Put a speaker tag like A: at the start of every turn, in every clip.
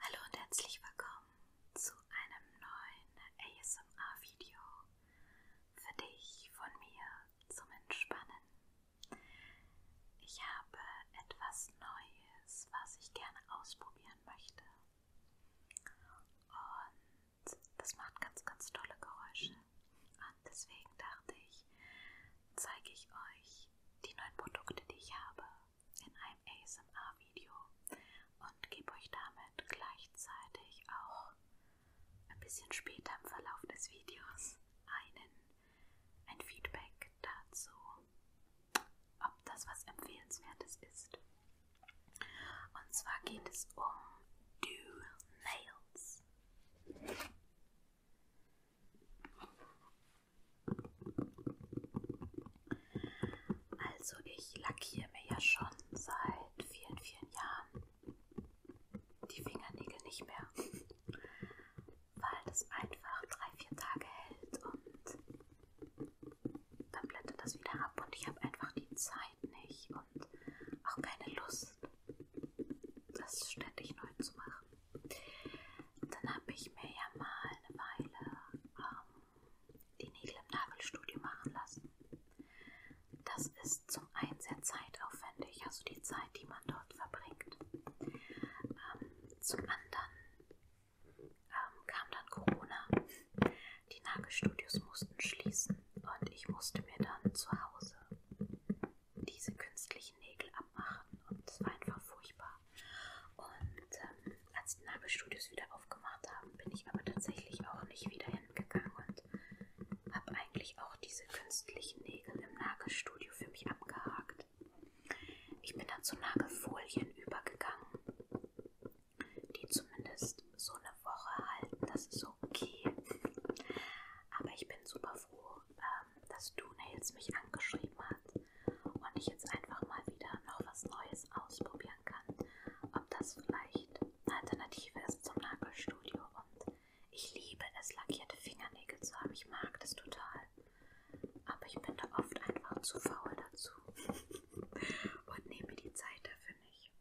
A: Hallo und herzlich willkommen zu einem neuen ASMR-Video für dich von mir zum Entspannen. Ich habe etwas Neues, was ich gerne ausprobieren möchte. Und das macht ganz, ganz tolle Geräusche. Und deswegen dachte ich, zeige ich euch die neuen Produkte, die ich habe in einem ASMR-Video und gebe euch damit gleichzeitig auch ein bisschen später im Verlauf des Videos einen, ein Feedback dazu, ob das was Empfehlenswertes ist. Und zwar geht es um Do Nails. Also ich lackiere mir ja schon seit vielen, vielen Jahren die Fingernägel nicht mehr, weil das einfach drei, vier Tage hält und dann blättert das wieder ab und ich habe einfach die Zeit nicht und auch keine Lust, das ständig neu zu machen. Dann habe ich mir ja mal eine Weile ähm, die Nägel im Nagelstudio machen lassen. Das ist zum einen sehr zeitaufwendig, also die Zeit, die man dort verbringt. Ähm, zum anderen ähm, kam dann Corona. Die Nagelstudios mussten schließen und ich musste mir dann zu Hause diese künstlichen Nägel abmachen und es war einfach furchtbar. Und ähm, als die Nagelstudios wieder aufgemacht haben, bin ich aber tatsächlich auch nicht wieder hingegangen und habe eigentlich auch diese künstlichen Nägel im Nagelstudio für mich abgehakt. Ich bin dann zu Nagelfolien übergegangen, die zumindest so eine Woche halten, das ist okay. Aber ich bin super froh, ähm, dass Du Nails mich angeschrieben hat und ich jetzt einfach mal wieder noch was Neues ausprobieren kann, ob das vielleicht eine Alternative ist zum Nagelstudio. Und ich liebe es, lackierte Fingernägel zu haben. Ich mag das total. Aber ich bin da oft einfach zu faul dazu und nehme die Zeit dafür nicht.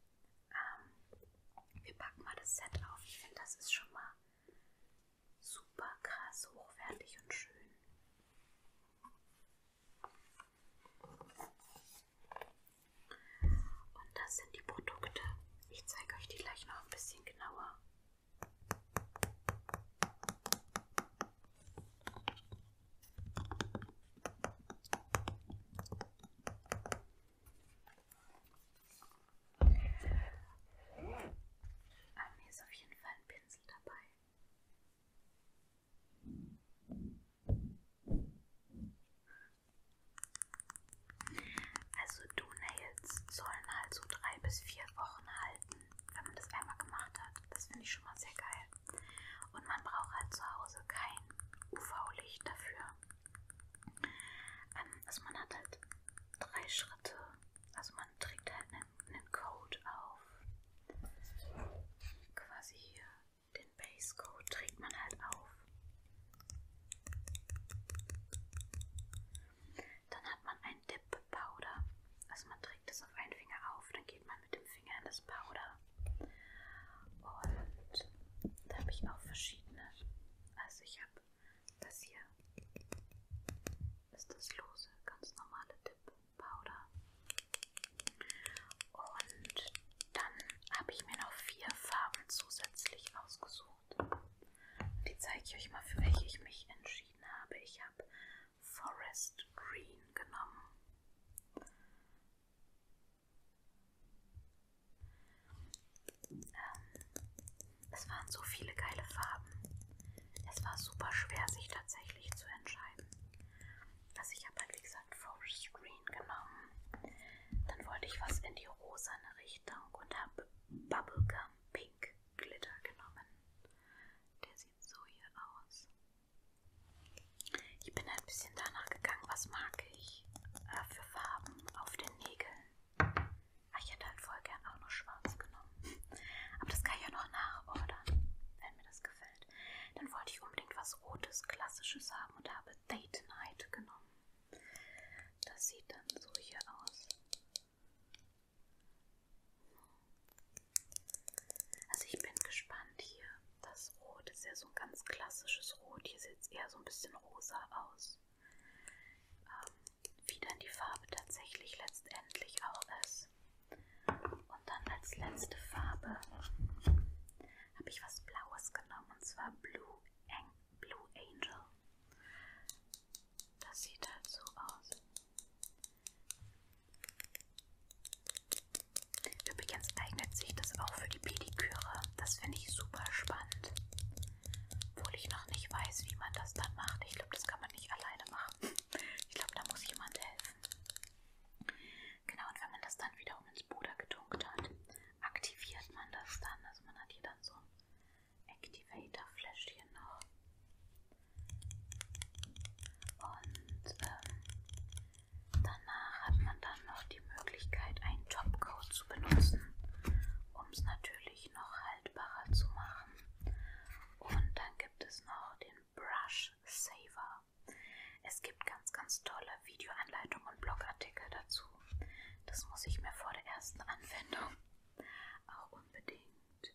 A: Ähm, wir packen mal das Set auf. Ich finde, das ist schon mal super krass hochwertig und schön. Und das sind die Produkte. Ich zeige euch die gleich noch ein bisschen genauer. An ah, mir ist auf jeden Fall ein Pinsel dabei. Also Donails sollen halt so drei bis vier Wochen halten, wenn man das einmal gemacht hat. Das finde ich schon mal sehr geil. Und man braucht halt zu Hause kein UV-Licht dafür. Ähm, also man hat halt drei Schritte also man trägt halt einen, einen Code auf. Quasi hier den Base Code trägt man halt auf. Dann hat man ein Dip Powder. Also man trägt das auf einen Finger auf, dann geht man mit dem Finger in das Powder. Und da habe ich auch verschiedene. Also ich habe das hier. Ist das lose, ganz normale Dip. Powder. Und dann habe ich mir noch vier Farben zusätzlich ausgesucht. Die zeige ich euch mal, für welche ich mich entschieden habe. Ich habe Forest Green genommen. Ähm, es waren so viele geile Farben es war super schwer, sich tatsächlich zu entscheiden. Also ich habe halt wie gesagt Forest Green genommen. Dann wollte ich was in die rosane Richtung und habe Bubblegum Pink Glitter genommen. Der sieht so hier aus. Ich bin ein bisschen danach gegangen, was mag ich äh, für Farben auf den Nägeln. Ah, ich hätte halt voll gern auch noch schwarz genommen. Aber das kann ich ja noch nachordern, wenn mir das gefällt. Dann wollte ich unbedingt was Rotes, Klassisches haben und habe Date Night genommen. Das sieht dann so hier aus. Also ich bin gespannt hier. Das Rot ist ja so ein ganz klassisches Rot. Hier sieht es eher so ein bisschen rosa aus. Ähm, wie dann die Farbe tatsächlich letztendlich auch ist. Weiß. Und dann als letzte Farbe habe ich was Blaues genommen und zwar Blue, An Blue Angel. Das sieht halt so aus. Übrigens eignet sich das auch für die Pediküre. Das finde ich super spannend. Obwohl ich noch nicht weiß, wie man das dann macht. Ich glaube, das kann man nicht alleine machen ich glaube, da muss jemand helfen. Genau, und wenn man das dann wiederum ins Puder getunkt hat, aktiviert man das dann. Also man hat hier dann so ein Activator-Fläschchen noch. Und ähm, danach hat man dann noch die Möglichkeit, einen Topcoat zu benutzen, um es natürlich noch haltbarer zu machen. Und dann gibt es noch den Brush Saver. Es gibt ganz, ganz tolle Videoanleitungen und Blogartikel dazu. Das muss ich mir vor der ersten Anwendung auch unbedingt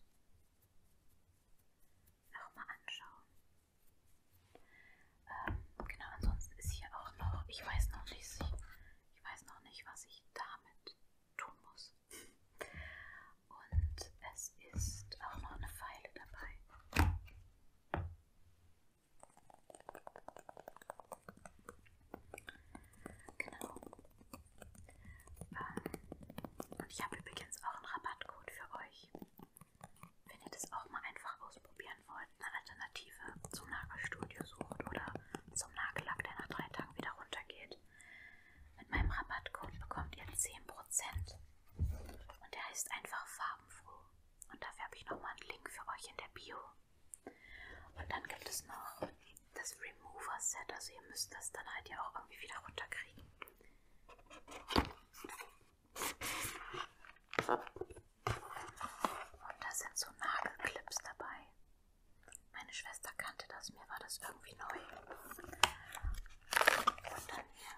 A: nochmal anschauen. Ähm, genau, ansonsten ist hier auch noch, ich weiß noch nicht, ich weiß noch nicht, was ich damit tun muss. Und es ist auch noch eine Pfeile dabei. Genau. Ähm, und ich habe übrigens auch einen Rabattcode für euch. Wenn ihr das auch mal einfach ausprobieren wollt, eine Alternative zum Nagelstudio sucht oder zum Nagellack, der nach drei Tagen wieder runtergeht, mit meinem Rabattcode bekommt ihr 10% und der heißt einfach farbenfroh. Und dafür habe ich nochmal einen Link für euch in der Bio. Und dann gibt es noch das Remover Set, also ihr müsst das dann halt ja auch irgendwie wieder runterkriegen. Und da sind so Nagelclips dabei. Meine Schwester kannte das, mir war das irgendwie neu unter mir.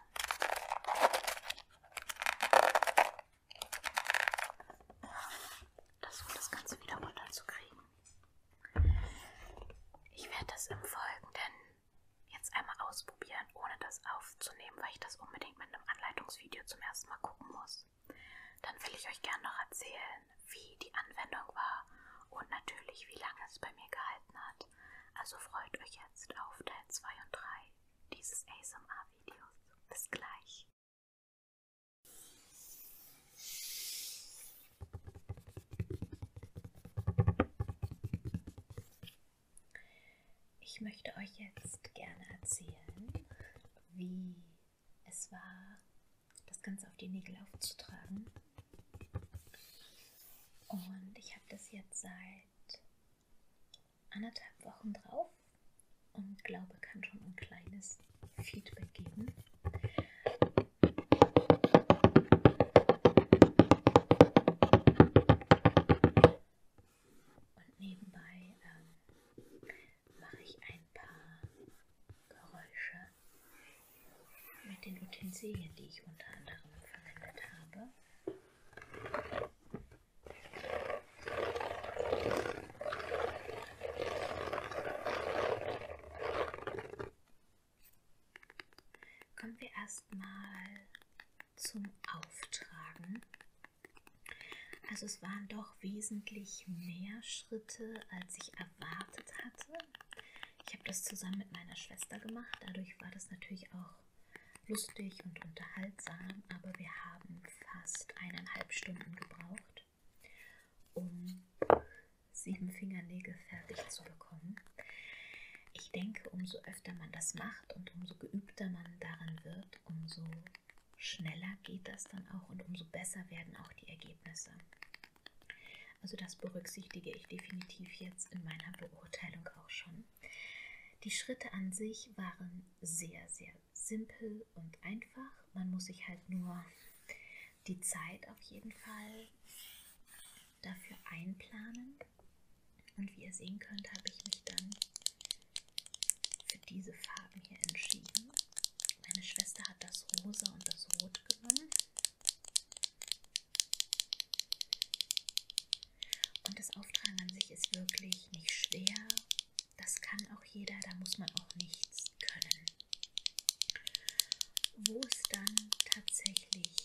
A: Versuche das Ganze wieder runterzukriegen. Ich werde das im Folgenden jetzt einmal ausprobieren, ohne das aufzunehmen, weil ich das unbedingt mit einem Anleitungsvideo zum ersten Mal gucken muss. Dann will ich euch gerne noch erzählen, wie die Anwendung war und natürlich, wie lange es bei mir gehalten hat nicht. Also freut euch jetzt auf Teil 2 und 3 dieses ASMR-Videos. Bis gleich. Ich möchte euch jetzt gerne erzählen, wie es war, das Ganze auf die Nägel aufzutragen und ich habe das jetzt seit anderthalb Wochen drauf und glaube, kann schon ein kleines Feedback geben. Und nebenbei ähm, mache ich ein paar Geräusche mit den Utensilien, die ich unter anderem verwendet habe. Kommen wir erstmal zum Auftragen. Also es waren doch wesentlich mehr Schritte, als ich erwartet hatte. Ich habe das zusammen mit meiner Schwester gemacht. Dadurch war das natürlich auch lustig und unterhaltsam, aber wir haben fast eineinhalb Stunden gebraucht, um sieben Fingernägel fertig zu bekommen. Ich denke, umso öfter man das macht und umso geübter man daran wird, umso schneller geht das dann auch und umso besser werden auch die Ergebnisse. Also das berücksichtige ich definitiv jetzt in meiner Beurteilung auch schon. Die Schritte an sich waren sehr, sehr simpel und einfach. Man muss sich halt nur die Zeit auf jeden Fall dafür einplanen. Und wie ihr sehen könnt, habe ich mich dann für diese Farben hier entschieden. Meine Schwester hat das Rosa und das Rot genommen. Und das Auftragen an sich ist wirklich nicht schwer. Das kann auch jeder, da muss man auch nichts können. Wo es dann tatsächlich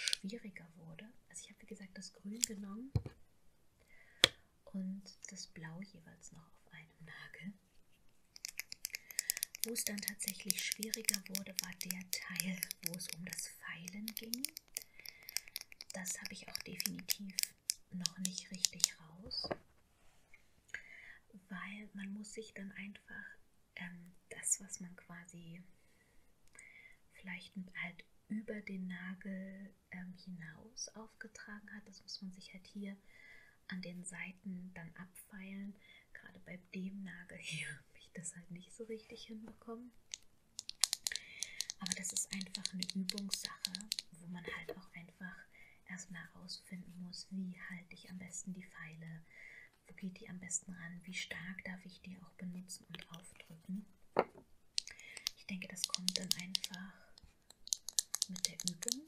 A: schwieriger wurde, also ich habe wie gesagt das Grün genommen und das Blau jeweils noch auf einem Nagel. Wo es dann tatsächlich schwieriger wurde, war der Teil, wo es um das Feilen ging. Das habe ich auch definitiv noch nicht richtig raus, weil man muss sich dann einfach ähm, das, was man quasi vielleicht halt über den Nagel ähm, hinaus aufgetragen hat, das muss man sich halt hier an den Seiten dann abfeilen, gerade bei dem Nagel hier habe ich das halt nicht so richtig hinbekommen. Aber das ist einfach eine Übungssache, wo man halt auch einfach erstmal herausfinden muss, wie halte ich am besten die Pfeile, wo geht die am besten ran, wie stark darf ich die auch benutzen und aufdrücken. Ich denke, das kommt dann einfach mit der Übung.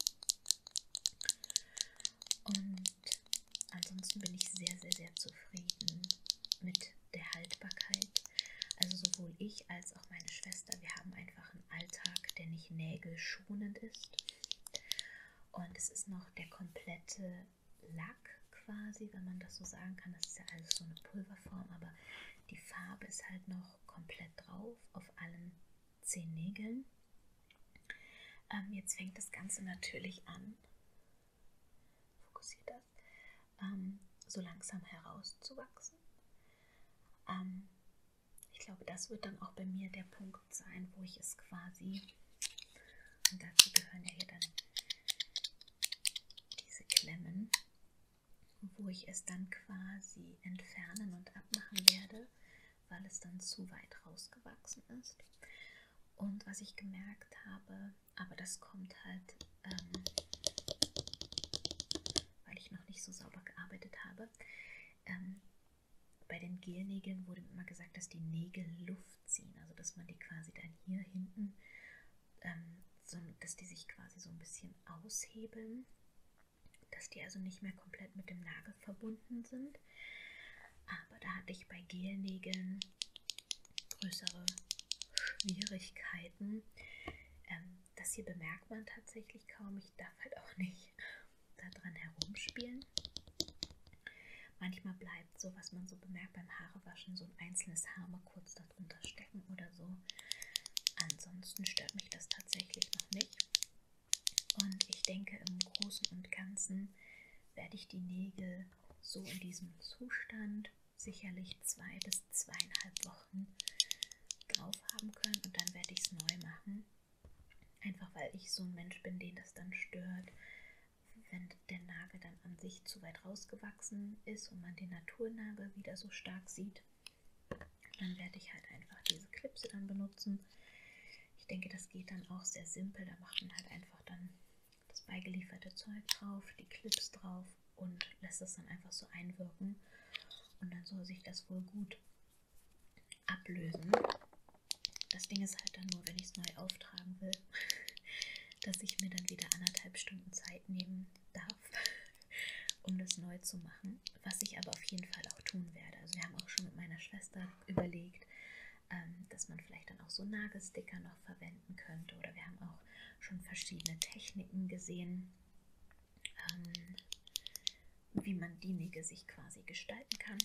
A: Und ansonsten bin ich sehr, sehr, sehr zufrieden mit der Haltbarkeit. Also sowohl ich als auch meine Schwester, wir haben einfach einen Alltag, der nicht nägelschonend ist. Und es ist noch der komplette Lack quasi, wenn man das so sagen kann. Das ist ja alles so eine Pulverform, aber die Farbe ist halt noch komplett drauf auf allen zehn Nägeln. Ähm, jetzt fängt das Ganze natürlich an, fokussiert das, ähm, so langsam herauszuwachsen. Ähm, ich glaube, das wird dann auch bei mir der Punkt sein, wo ich es quasi, und dazu gehören ja hier dann diese Klemmen, wo ich es dann quasi entfernen und abmachen werde, weil es dann zu weit rausgewachsen ist. Und was ich gemerkt habe, aber das kommt halt, ähm, weil ich noch nicht so sauber gearbeitet habe, ähm, bei den Gelnägeln wurde immer gesagt, dass die Nägel Luft ziehen, also dass man die quasi dann hier hinten, ähm, so, dass die sich quasi so ein bisschen aushebeln, dass die also nicht mehr komplett mit dem Nagel verbunden sind sind. Aber da hatte ich bei Gelnägeln größere Schwierigkeiten. Ähm, das hier bemerkt man tatsächlich kaum. Ich darf halt auch nicht daran herumspielen. Manchmal bleibt so, was man so bemerkt beim Haarewaschen, so ein einzelnes Haar mal kurz darunter stecken oder so. Ansonsten stört mich das tatsächlich noch nicht. Und ich denke, im Großen und Ganzen werde ich die Nägel so in diesem Zustand sicherlich zwei bis zweieinhalb Wochen drauf haben können und dann werde ich es neu machen. Einfach weil ich so ein Mensch bin, den das dann stört, wenn der Nagel dann an sich zu weit rausgewachsen ist und man den Naturnagel wieder so stark sieht. Dann werde ich halt einfach diese Klipse dann benutzen. Ich denke, das geht dann auch sehr simpel. Da macht man halt einfach dann das beigelieferte Zeug drauf, die Clips drauf und lässt das dann einfach so einwirken. Und dann soll sich das wohl gut ablösen. Das Ding ist halt dann nur, wenn ich es neu auftragen will, dass ich mir dann wieder anderthalb Stunden Zeit nehmen darf, um das neu zu machen. Was ich aber auf jeden Fall auch tun werde. Also wir haben auch schon mit meiner Schwester überlegt, ähm, dass man vielleicht dann auch so Nagelsticker noch verwenden könnte. Oder wir haben auch schon verschiedene Techniken gesehen, ähm, wie man die Nägel sich quasi gestalten kann.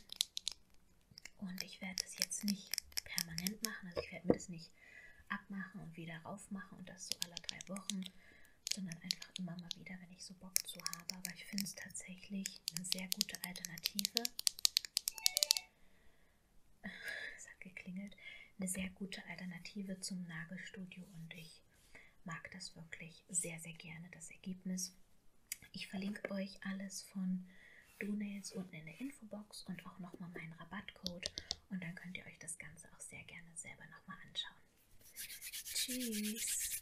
A: Und ich werde das jetzt nicht permanent machen, also ich werde mir das nicht abmachen und wieder raufmachen und das so alle drei Wochen, sondern einfach immer mal wieder, wenn ich so Bock zu habe. Aber ich finde es tatsächlich eine sehr gute Alternative es hat geklingelt, eine sehr gute Alternative zum Nagelstudio und ich mag das wirklich sehr, sehr gerne, das Ergebnis. Ich verlinke euch alles von Donails unten in der Infobox und auch nochmal meinen Rabattcode und dann könnt ihr euch das Ganze auch sehr gerne selber nochmal anschauen. Tschüss!